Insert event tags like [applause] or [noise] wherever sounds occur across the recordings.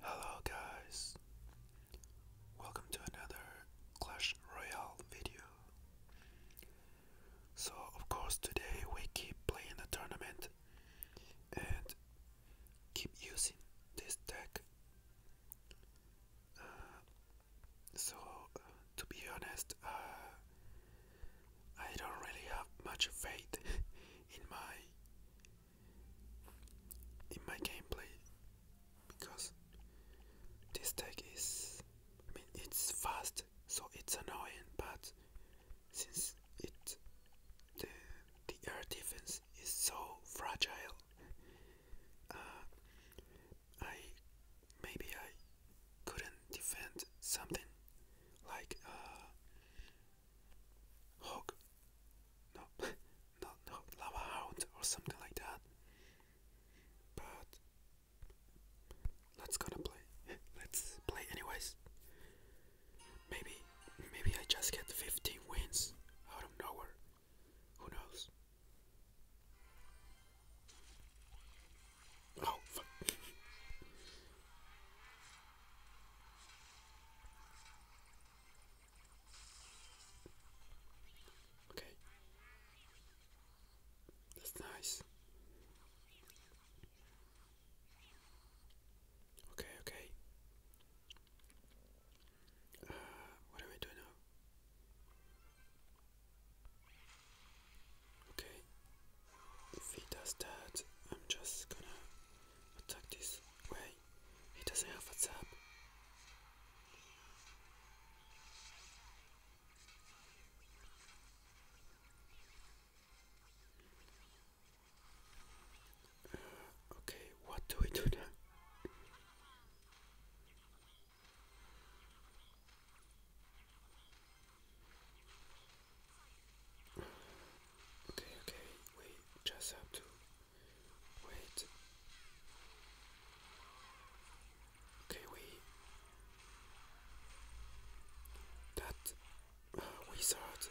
Hello guys, welcome to another Clash Royale video. So of course today we keep playing the tournament and keep using this deck. Uh, so uh, to be honest, uh, I don't really have much faith [laughs] in my in my gameplay because this tech is I mean it's fast so it's annoying but since it the the air defense is so fragile uh, I maybe I couldn't defend something like uh, Hog? No, [laughs] not no, lava hound or something like that. But let's gonna play. [laughs] Let's play anyways. Maybe, maybe I just get 15 wins out of nowhere. Who knows? Oh, fuck. [laughs] Okay. That's nice. Okay, okay. Uh, what do I do now? Okay, if he does that, I'm just gonna attack this way. He doesn't have a tap. okay, what do we do now? Okay, okay, wait, just have to wait. Okay, wait. That uh, wizard.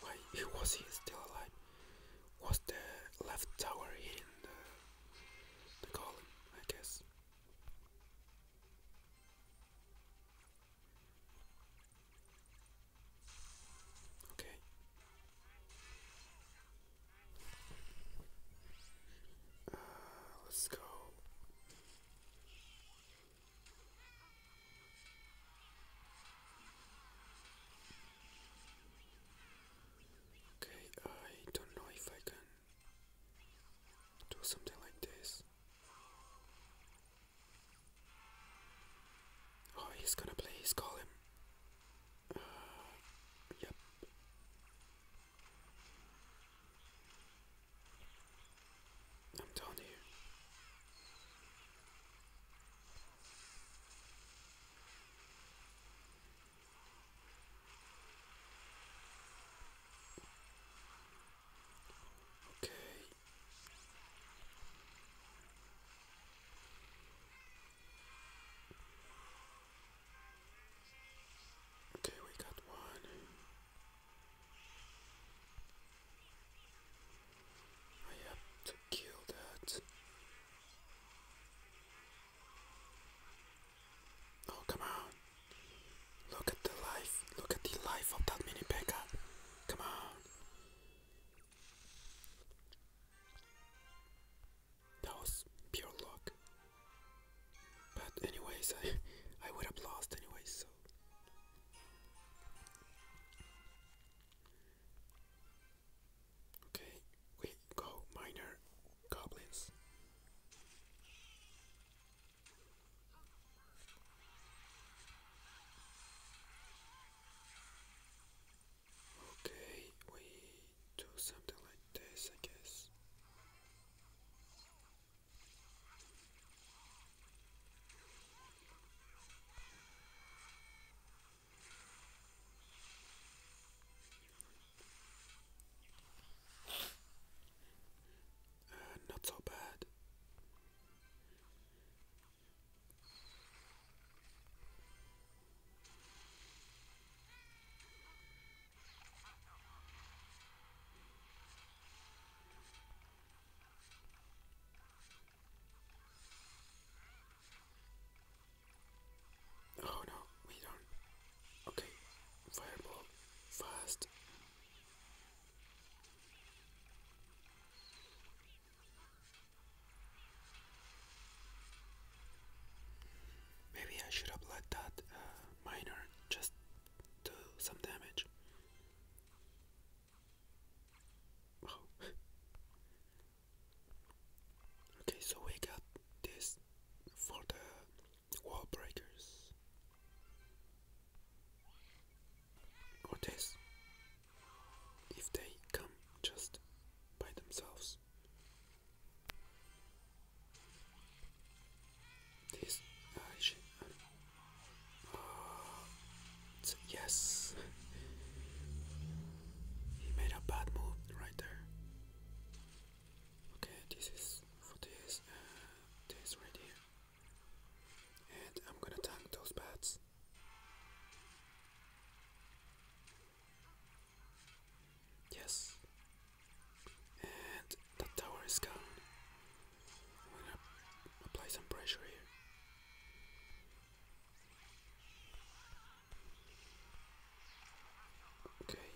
Why he [laughs] was he still alive? Was the left tower in the column? I guess. Okay. let's go. Okay, I don't know if I can do something like this. Oh, he's gonna play his column. Uh, yep. I'm down here. Okay, Okay, we got one. I have to kill that. Oh, come on. Look at the life. Look at the life of that mini Pekka. Come on. That was pure luck. But anyways, I, I would have lost anyways, so. Okay, we go minor goblins. Okay, we do something like this, I guess. Uh, not so bad. Oh no, we don't. Okay, fireball, fast. Maybe I should have let that uh, miner just do some damage. Oh. [laughs] okay, so we got this for the wall breakers or this? if they come just by themselves. This uh, I uh, uh, yes, [laughs] he made a bad move right there. Okay, this is for this. Uh, this right here. And I'm gonna tank those bats. Yes. And the tower is gone. I'm gonna apply some pressure here. Okay.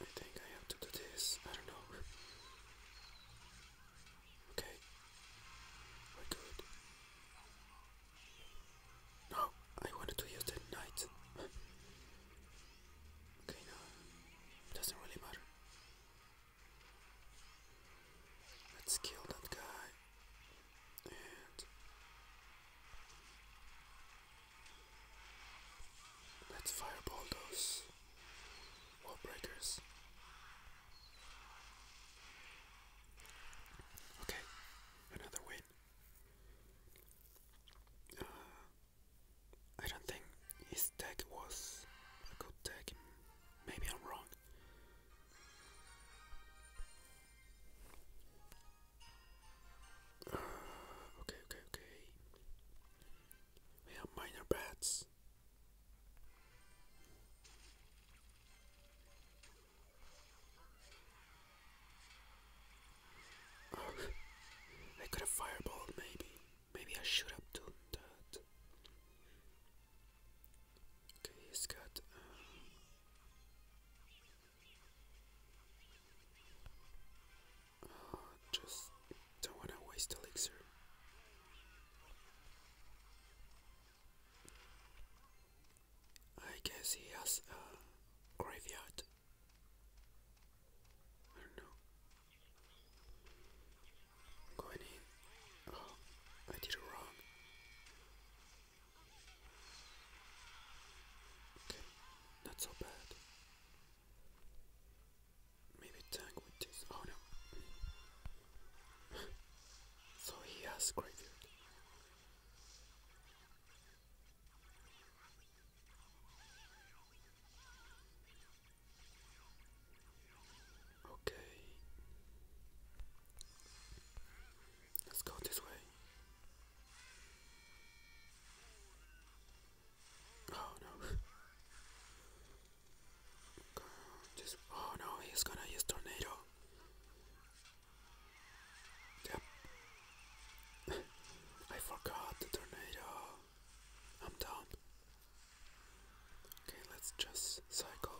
I think I have to do this. I don't know. Okay. We're good. No, I wanted to use the knight. okay, no. Doesn't really matter. Let's kill that guy. Let's fireball those wall breakers. Okay, another win. Uh, I don't think his deck was a good deck. Maybe I'm wrong okay, okay, okay. We have minor bats. [laughs] I could have fireball, maybe. Maybe I should have done that. Okay, he's got. Um, just don't want to waste elixir. I guess he has a graveyard. I don't know. Going in. Oh, I did it wrong. Okay, not so bad. Maybe tank with this. Oh no. [laughs] so he has graveyard. Okay. Let's go this way. Oh no. Just, oh no, he's gonna use tornado. Yep. I forgot the tornado. I'm done. Okay, let's just cycle.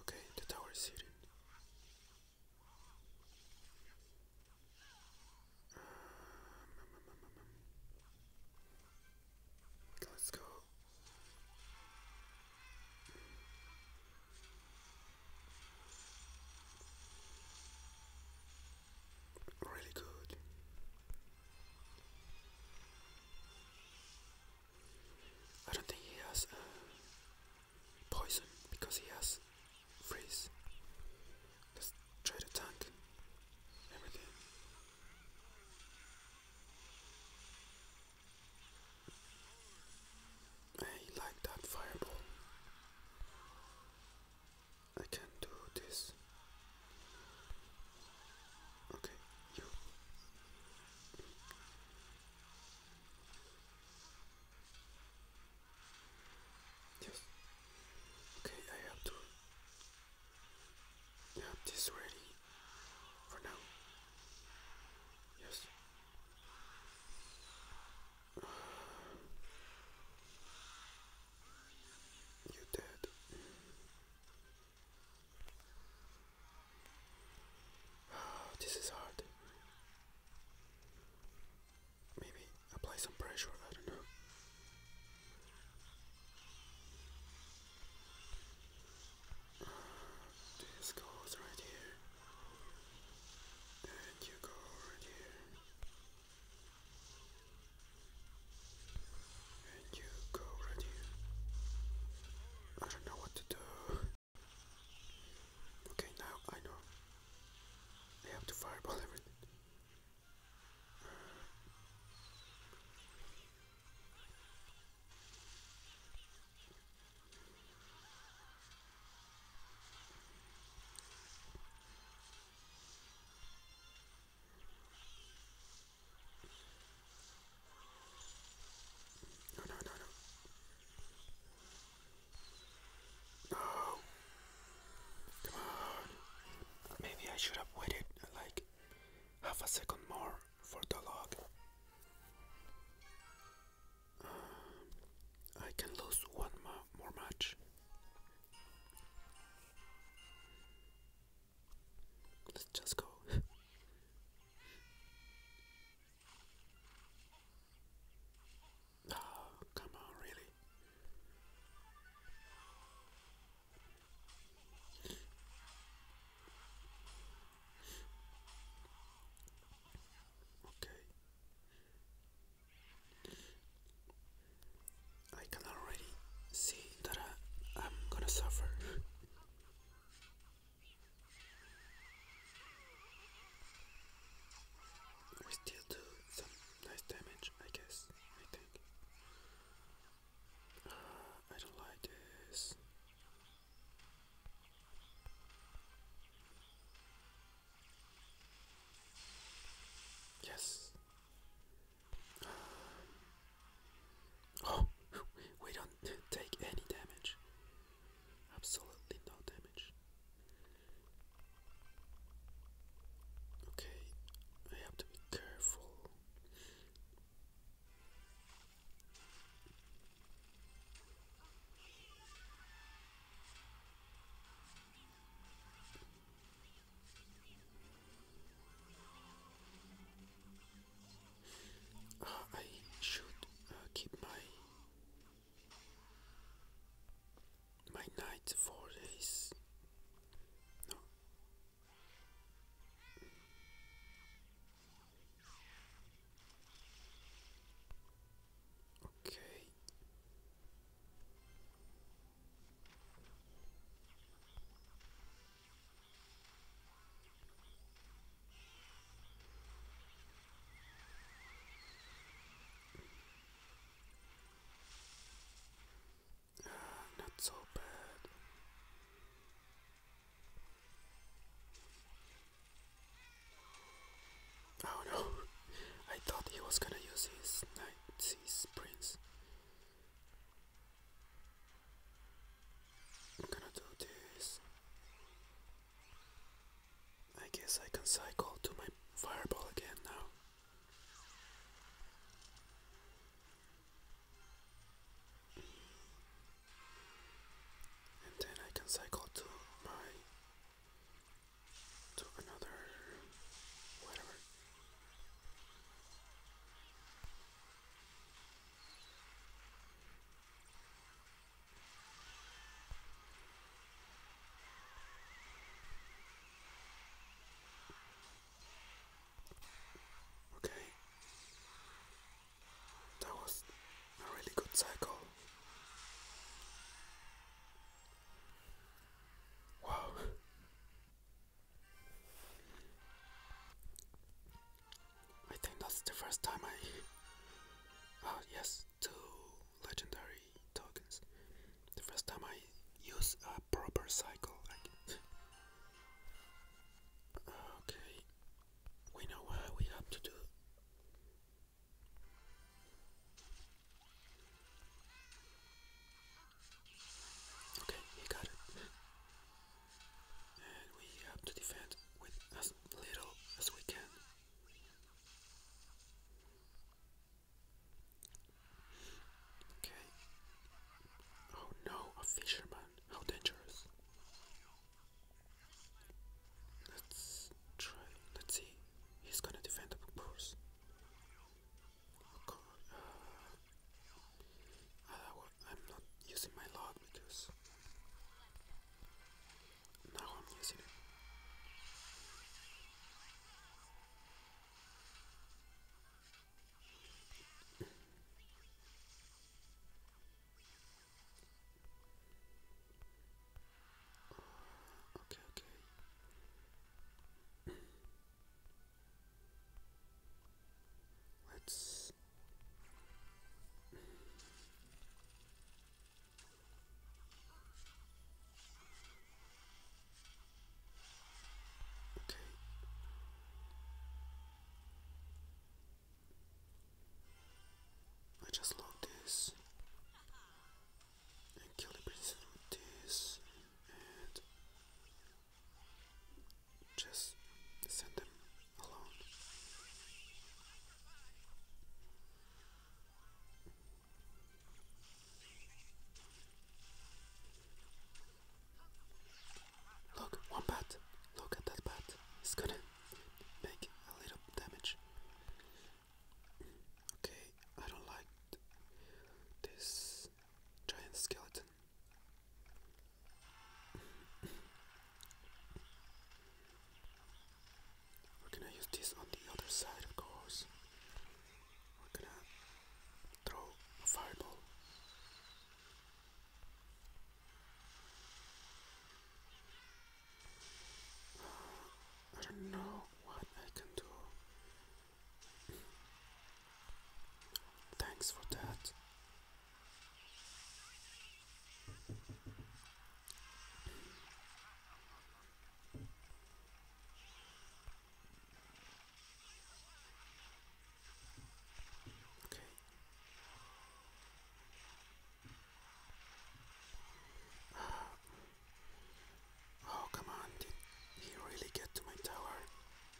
Okay, the tower is hidden. Uh, let's go. Really good. I don't think he has uh, poison because he has freeze. Let's try to tank everything. I like that fireball. I can do this Okay, Yes. Okay, I have to have this ready for now. Yes. [sighs] you dead. [sighs] this is hard. Maybe apply some pressure, I don't know. this goes right here. And you go right here. And you go right I don't know what to do. Okay, now I know. I have to fireball everything. [laughs] No, no, no, no. No. Come on. Maybe I should have waited like half a second more for the log. Um, I can lose one more match. Let's just go. [laughs] Oh, come on, really. Okay. I can already see that I'm gonna suffer. We still do some nice damage, I guess. I think. Uh, I don't like this. Yes. Oh, [gasps] we don't take any damage. Absolutely no damage. Okay, I have to be careful. I should uh, keep my my night for this. Okay. [sighs] not so bad. Oh no, [laughs] I thought he was gonna use his night, his prince. I'm gonna do this. I guess I can cycle to my fireball again now. And then I can cycle to my to another whatever. Okay, that was a really good cycle. Wow, I think that's the first time I. Oh, yes, two legendary tokens. The first time I use a proper cycle. [sighs] okay, we know what we have to do. Okay, he got it. And we have to defend with as little as we can. Okay. Oh no, a fisherman. How dangerous. Let's try. Let's see. He's gonna defend, the course. Uh, uh, I'm not using my log because now I'm using it. [laughs] Okay, okay. Let's Okay. I just log this and kill the princess and just send them alone. Look, one bat. Look at that bat. It's gonna make a little damage. Okay, I don't like this giant skeleton. We're gonna use this on the other side, of course. We're gonna throw a fireball. I don't know what I can do. Thanks for that. Okay. [sighs] oh, come on, did he really get to my tower?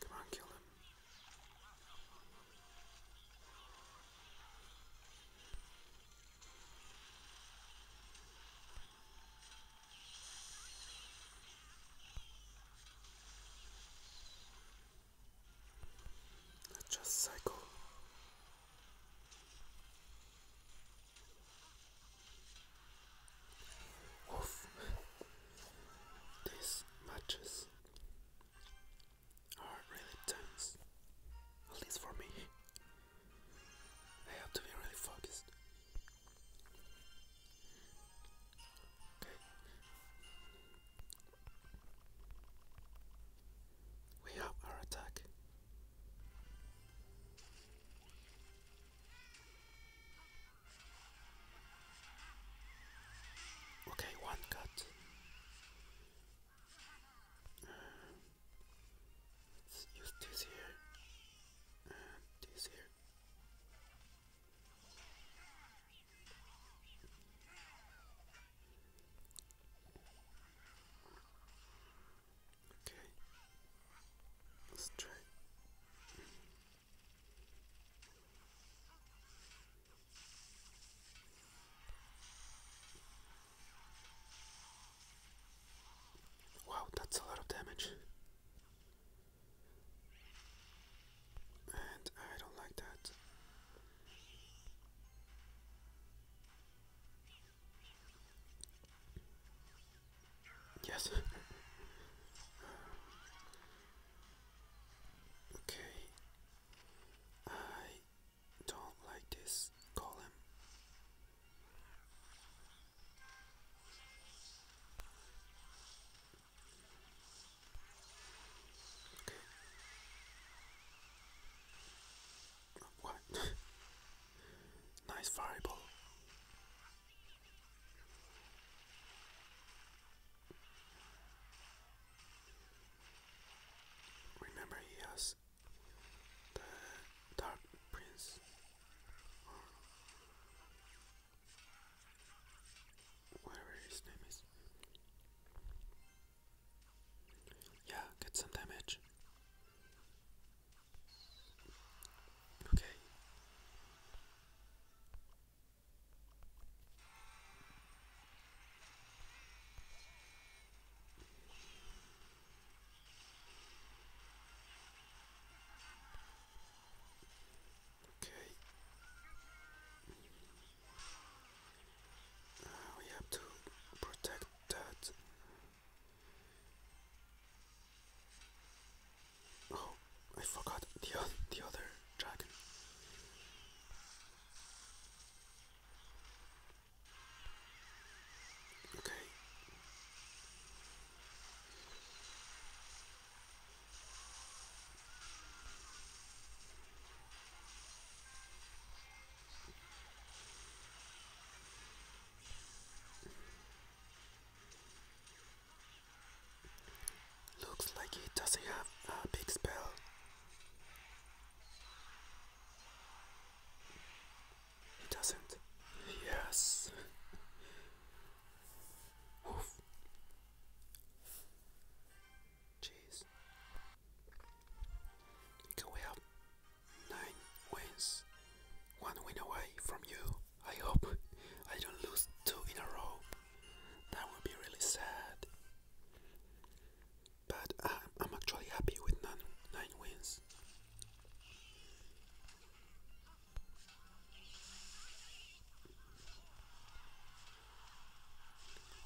Come on, kill him. Let's just cycle. Oof. These matches are oh, really tense, at least for me. I have to be really focused. Okay. We have our attack. Okay, one cut. let's use this here and this here. Okay, let Wow, that's a lot of damage. And I don't like that. Yes. Okay. I don't like this column. What? [laughs] nice fireball. Remember, he has the Dark Prince. Or whatever his name is. Yeah, get some damage. Okay. Okay. Uh, we have to protect that. Oh. I forgot the the other dragon. Okay. Looks like he doesn't have a big spell. He doesn't. Yes. Oof. Jeez. we have nine wins? One win away from you. I hope I don't lose two in a row. That would be really sad. But I'm, actually happy with nine wins.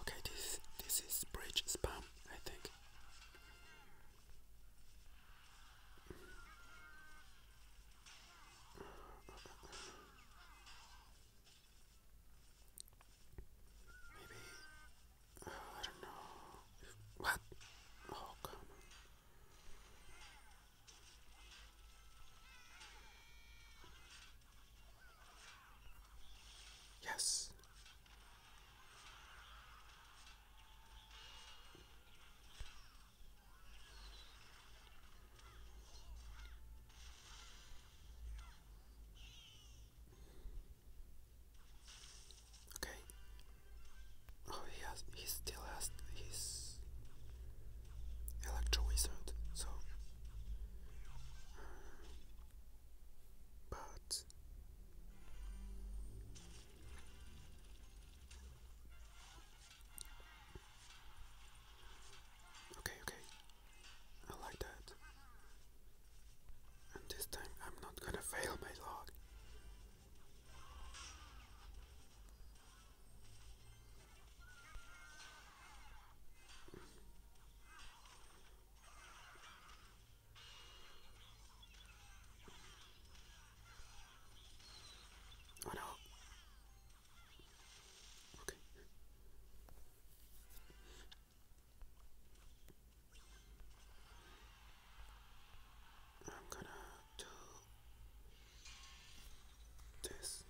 Okay, this this is bridge spam, I think. Maybe. I don't know. what? Oh, come on. Yes. Okay. Oh, he has. He still has his electro wizard. So, uh, but. Okay, okay, I like that. And this time I'm not gonna fail my log. Oh no, Okay. I'm gonna do this.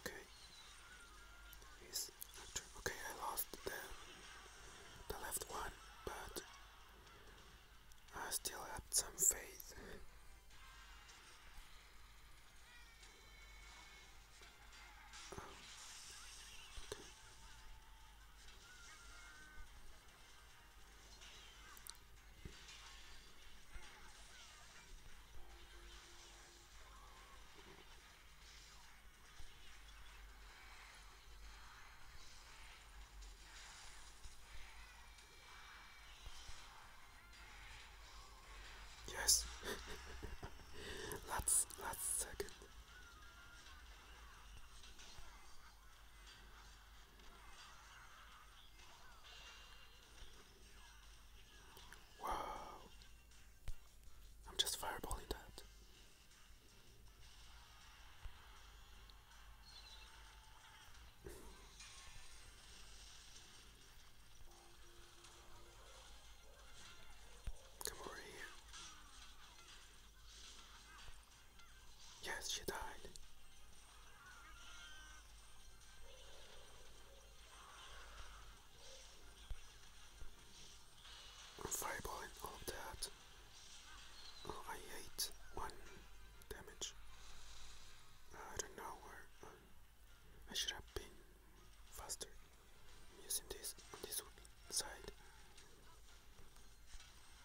Okay. He's Okay, I lost the the left one, but I still have some faith. Oh, okay. Yes. [laughs] last last second. Wow. I'm just fireballing that. Come over here. Yes, she died. I'm all that. Oh, I hate one damage. Uh, I don't know where uh, I should have been faster. using this on this side.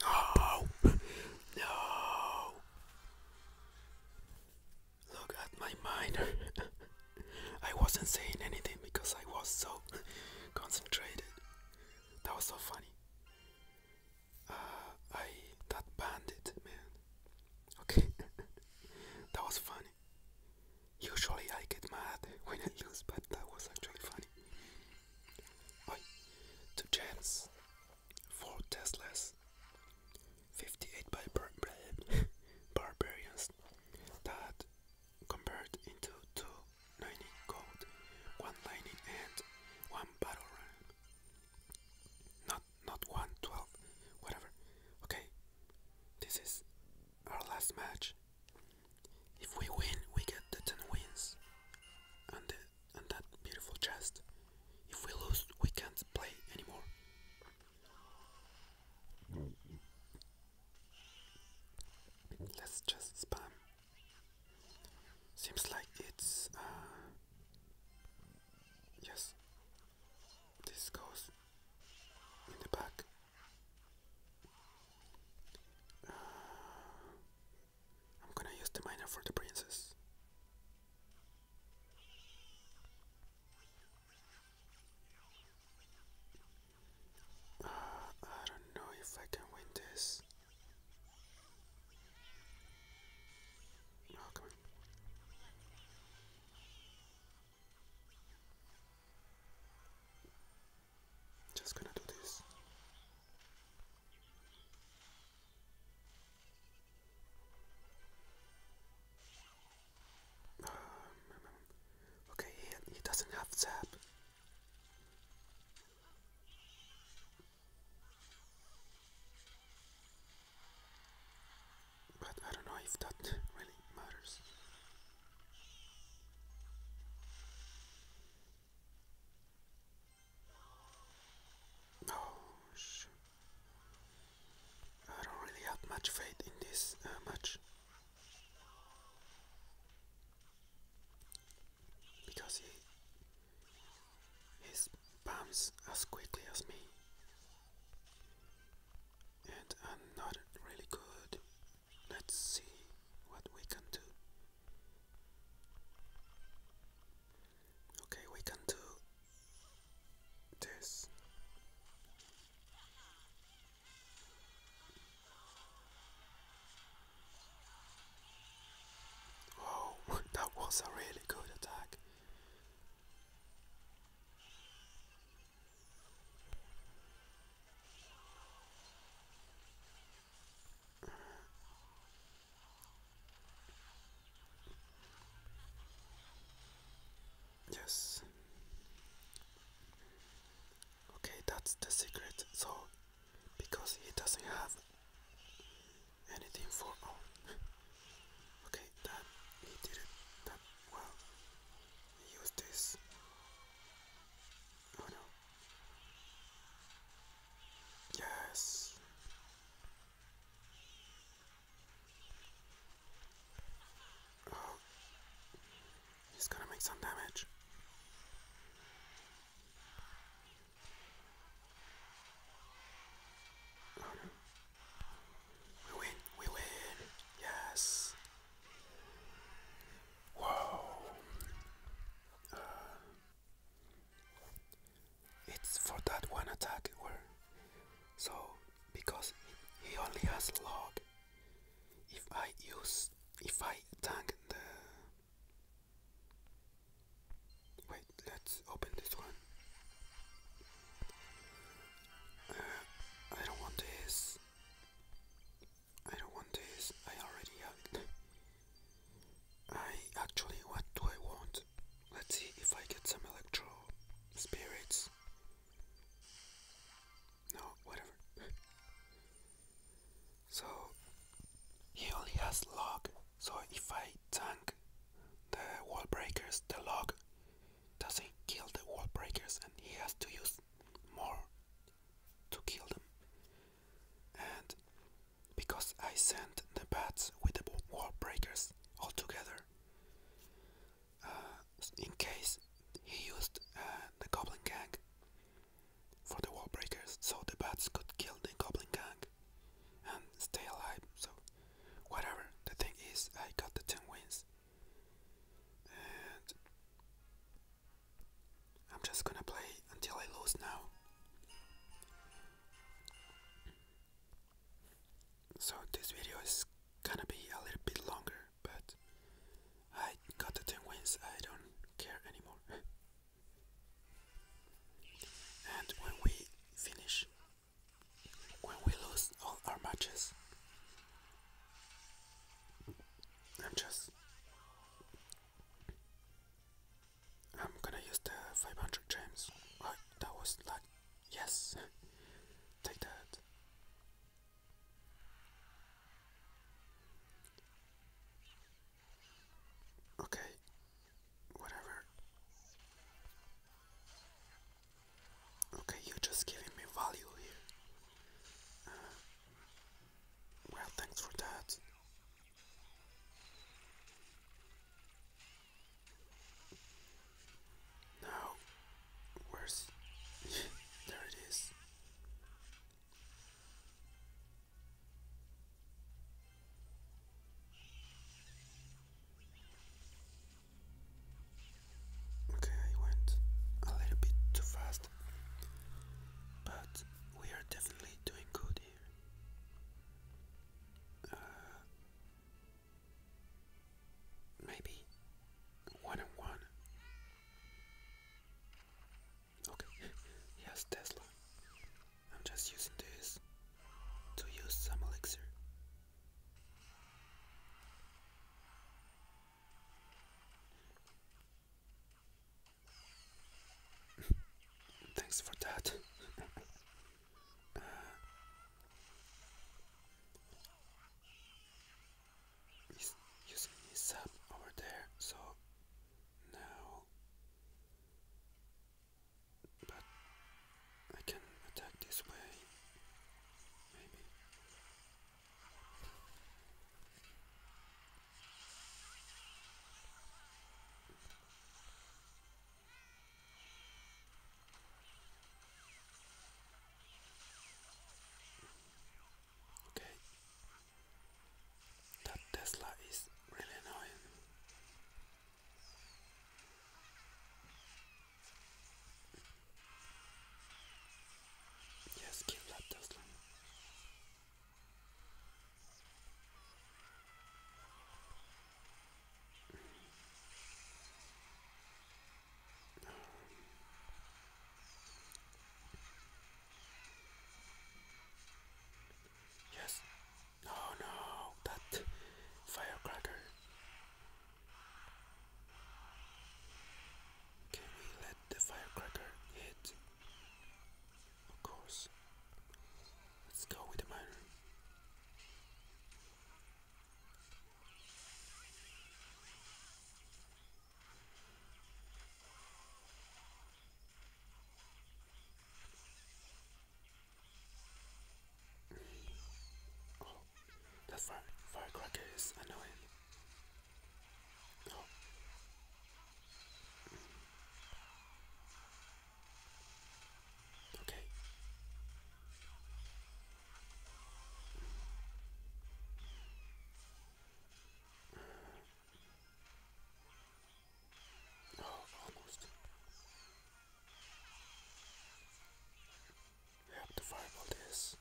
No! No! Look at my mind. [laughs] I wasn't saying anything because I was so [laughs] concentrated. That was so funny. Uh, I that bandit man. Okay, [laughs] that was fun. Usually I get mad when I lose, but that was actually funny. two gems, four Teslas, 58 [laughs] barbarians that convert into two lightning gold, one lightning and one battle ram. Not not one twelve, whatever. Okay, this is our last match. If we win, we get the 10 wins and, the, and that beautiful chest. If we lose, we can't play anymore. Let's just spam. Seems like it's. Uh, yes, this goes in the back. Uh, I'm gonna use the miner for the princess. Uh, I don't know if I can win this. Oh, come on. Just gonna do this. Um, okay, he doesn't have zap but I don't know if that really matters. Oh, shoot. I don't really have much faith in this uh, Because he, he spams as quickly as me and I'm not really good. Let's see what we can do. Okay, we can do this. Oh, [laughs] that was a really good attack. Yes. Okay, that's the secret. So, because he doesn't have anything for oh. [laughs] okay, that he did it that well use this. Oh no. Yes. Oh. He's gonna make some damage. Oh no. We win, we win, yes. Whoa. Uh, it's for that one attack where so because he only has log if I use if I tank the wait let's open this one I don't want this. I don't want this. I already have it. I actually, what do I want? Let's see if I get some electro spirits. No, whatever. [laughs] so, he only has log. So, if I tank the wall breakers, the log doesn't kill the wall breakers and he has to use more to kill them. And because I sent the bats with the wall breakers all together, uh, in case he used uh, the goblin gang for the wall breakers, so the bats could kill the goblin gang and stay alive. So, whatever the thing is, I got the 10 wins. And I'm just gonna play until I lose now. So this video is gonna be a little bit longer, but I got the 10 wins, I don't care anymore. [laughs] and when we finish when we lose all our matches. I'm just. I'm gonna use the 500 gems. Oh, that was like. Yes! [laughs] Take that. Okay, whatever. Okay, you're just giving me value here. Uh, well, thanks for that. Now, where's [laughs] there it is? Okay, I went a little bit too fast, but we are definitely doing good here. Uh, maybe one on one. Okay, he [laughs] Tesla. I'm just using this to use some elixir. [laughs] Thanks for that. Uh, he's using his sub over there, so now. But I can attack this way. Maybe. Okay. That Tesla is really annoying. Yes, kill that Tesla. Um, yes. No, no, that firecracker. Can we let the firecracker hit? Of course. Let's go with the miner. Oh. That's right. firecracker is annoying. Oh. Okay. Oh, almost we have to fireball this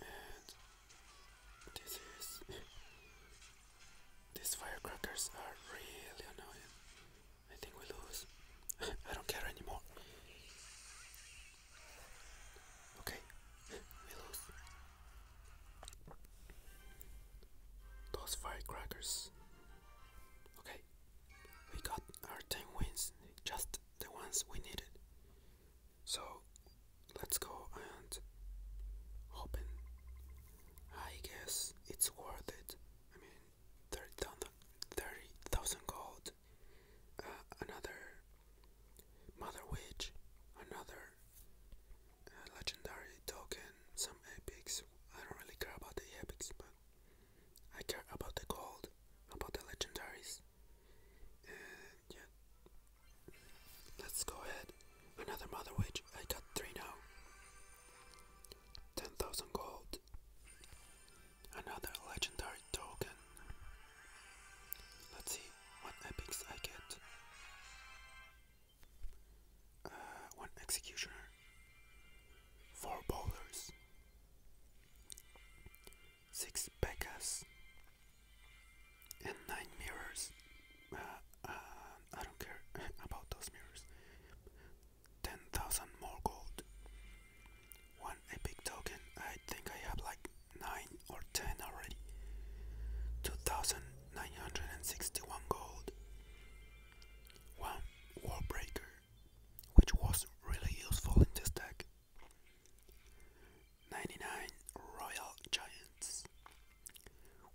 and this is these firecrackers are really annoying I think we lose [laughs] I don't care anymore okay we lose those firecrackers okay we got our 10 wins just the ones we needed. So let's go and open. I guess it's worth it. I mean, 30,000 30, gold, uh, another Mother Witch, another uh, legendary token, some epics. I don't really care about the epics, but I care about the gold, about the legendaries. And yeah. Let's go ahead. Another Mother Witch. I got three now. 10,000 gold. Another legendary token. Let's see what epics I get. Uh, one executioner. Four bowlers six Pekkas, and nine mirrors. uh, uh I don't care [laughs] about those mirrors. 10,000 more gold. One epic token. I think I have like 9 or 10 already. 2,961 gold. One warbreaker which was really useful in this deck. 99 Royal Giants,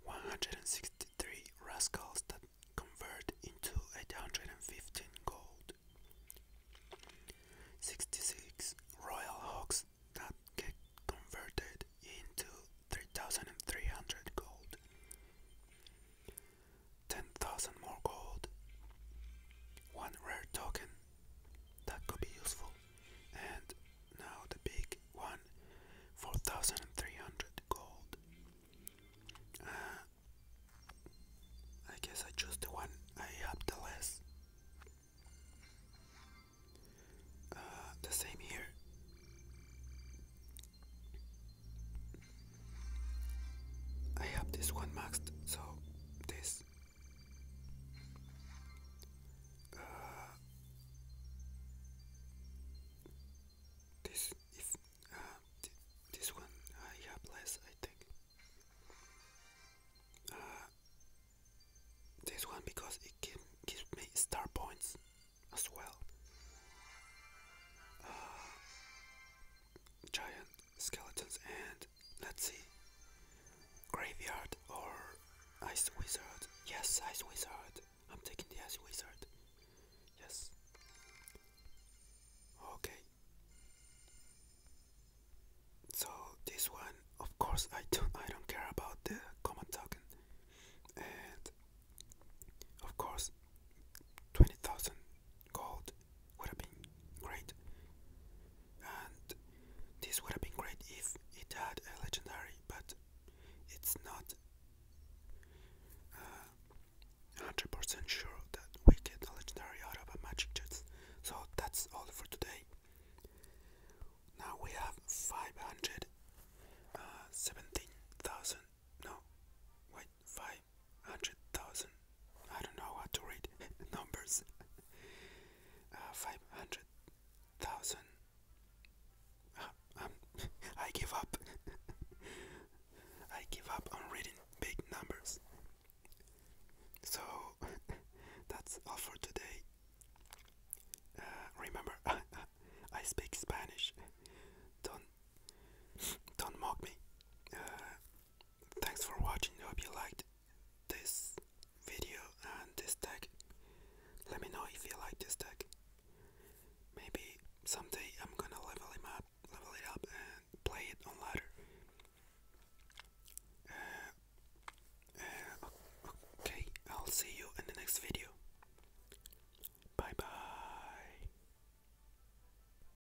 163 Rascals that convert into 815 gold, 66 Royal Hawks that get converted into 3300 gold, 10,000 more gold. One rare token that could be useful. And now the big one 4,300 gold. Uh, I guess I choose the one I have the less. Uh, the same here. I have this one maxed, so this. Uh, this if uh, this one I have less, I think. Uh, this one because it gives me star points as well. giant skeletons and let's see graveyard or ice wizard yes ice wizard i'm taking the ice wizard yes okay so this one of course i don't i don't care about the common token and of course 20000 gold would have been great. And this would have been great if it had a legendary, but it's not uh, 100% sure that we get a legendary out of a magic jet. So that's all for today. Now we have 517,000, uh, no, wait, 5 hundred thousand. I don't know how to read [laughs] numbers. Uh, five hundred thousand. Uh, um, [laughs] I give up. [laughs] I give up on reading big numbers. So that's all for today. Uh, remember, I speak Spanish. Don't don't mock me. Thanks for watching. I Hope you liked this video and this deck. Let me know if you like this deck. Maybe someday I'm gonna level him up, level it up, and play it on ladder. Uh, uh, okay, I'll see you in the next video. Bye bye.